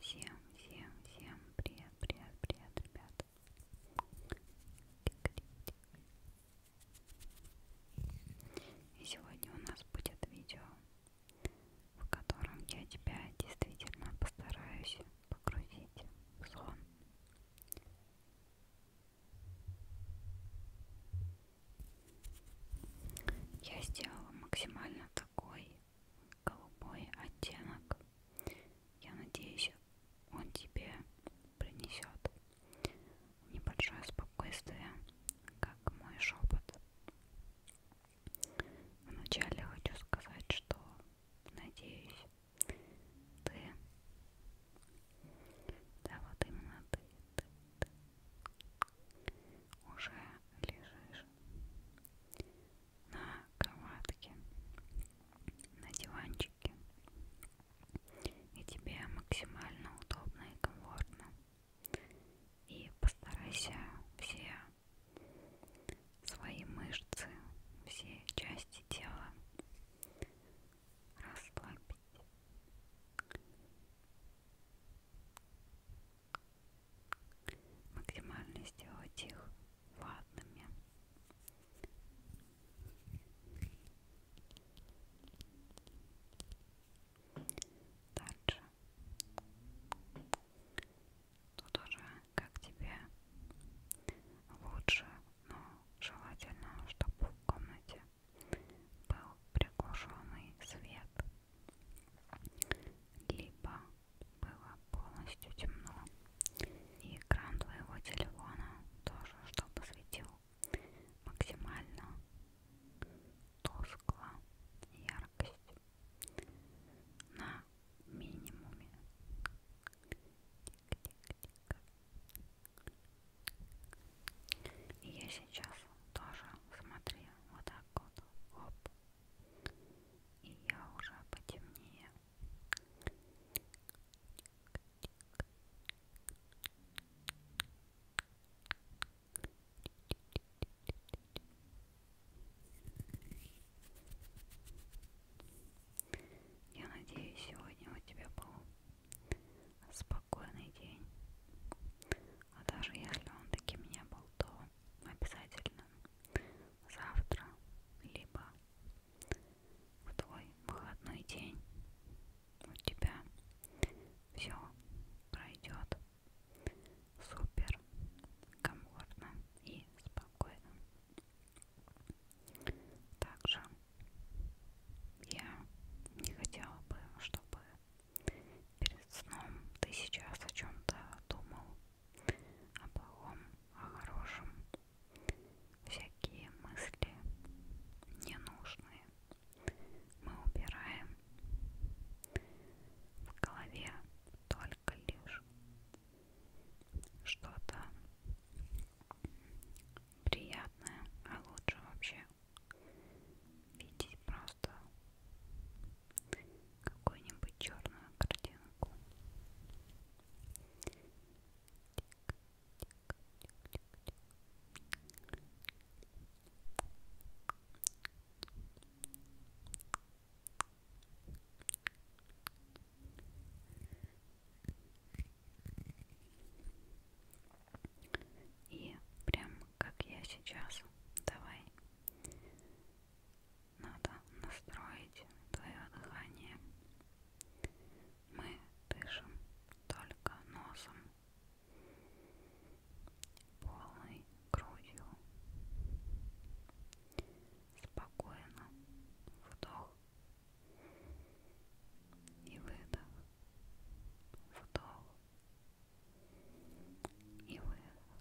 Всем, всем, всем привет, привет, привет, ребят. И сегодня у нас будет видео, в котором я тебя действительно постараюсь погрузить в сон. Я сделала максимально такой голубой оттенок. Я надеюсь, он тебе принесет небольшое спокойствие, как мой шепот. Вначале хочу сказать, что надеюсь, ты, да вот именно ты, ты, ты уже лежишь на кроватке, на диванчике, и тебе максимально удобно и комфортно. И постарайся все свои мышцы, все части тела расслабить максимально сделать их ватными. Дальше. Тут уже как тебе лучше, но желательно, чтобы в комнате был приглушенный свет, либо было полностью темно, и экран твоего телефона тоже, чтобы светил максимально тускло яркость на минимуме. Тик -тик -тик. И я сейчас тоже смотри, вот так вот, оп. И я уже потемнее. Я надеюсь, сегодня у тебя был спокойный день. А даже если он таким не был, то обязательно завтра, либо в твой выходной день у тебя все пройдет супер комфортно и спокойно. Также я не хотела бы, чтобы перед сном ты сейчас о чем-то думал, о плохом, о хорошем. Всякие мысли ненужные мы убираем в голове только лишь что-то приятное, а лучше вообще видеть просто какую-нибудь черную картинку. Тик, и прям как я сейчас, давай, надо настроить твое дыхание. Мы дышим только носом, полной грудью. Спокойно, вдох, и выдох, вдох и выдох. Вдох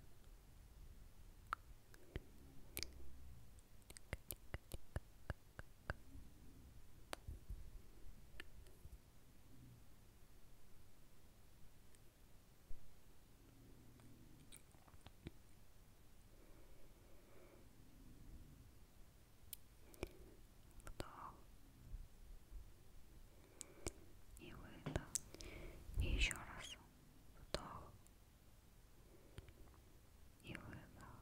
вдох и выдох. И еще раз вдох и выдох.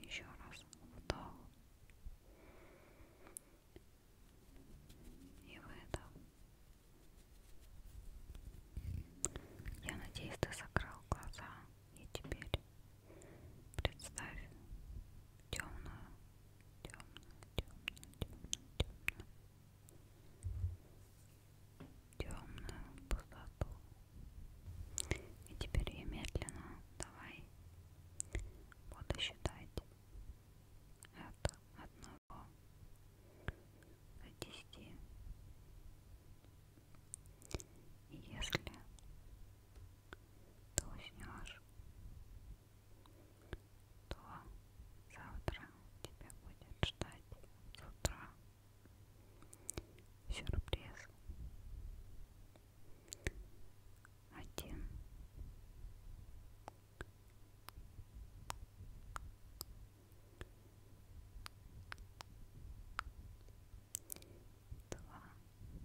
Еще раз вдох и выдох. Я надеюсь, ты закрыл глаза и теперь представь темную, темную, темную, темную, темную темную пустоту. И теперь я медленно, давай, буду считать от одного до десяти. И если ты уснешь, то завтра тебя будет ждать с утра. Сюрприз. Один. Два. Три.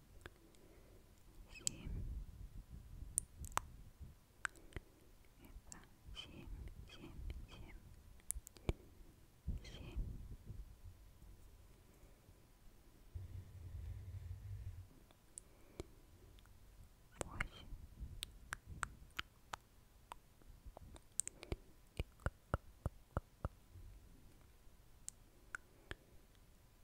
семь. Это семь, семь, семь, семь. Восемь. девять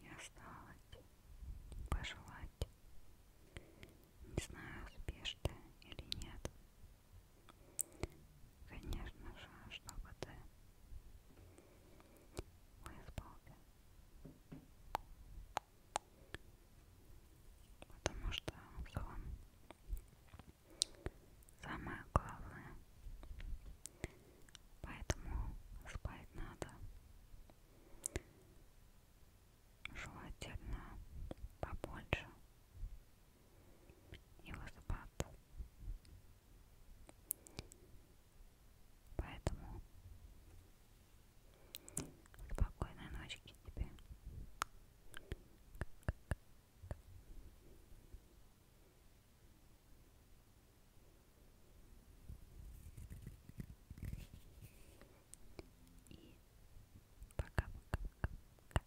И осталось пожелать, не знаю, успешно или нет. Конечно же, чтобы ты выспался, Потому что сон самое главное. Поэтому спать надо желательно побольше и высыпаться. Поэтому Спокойной ночки тебе. И пока-пока-пока.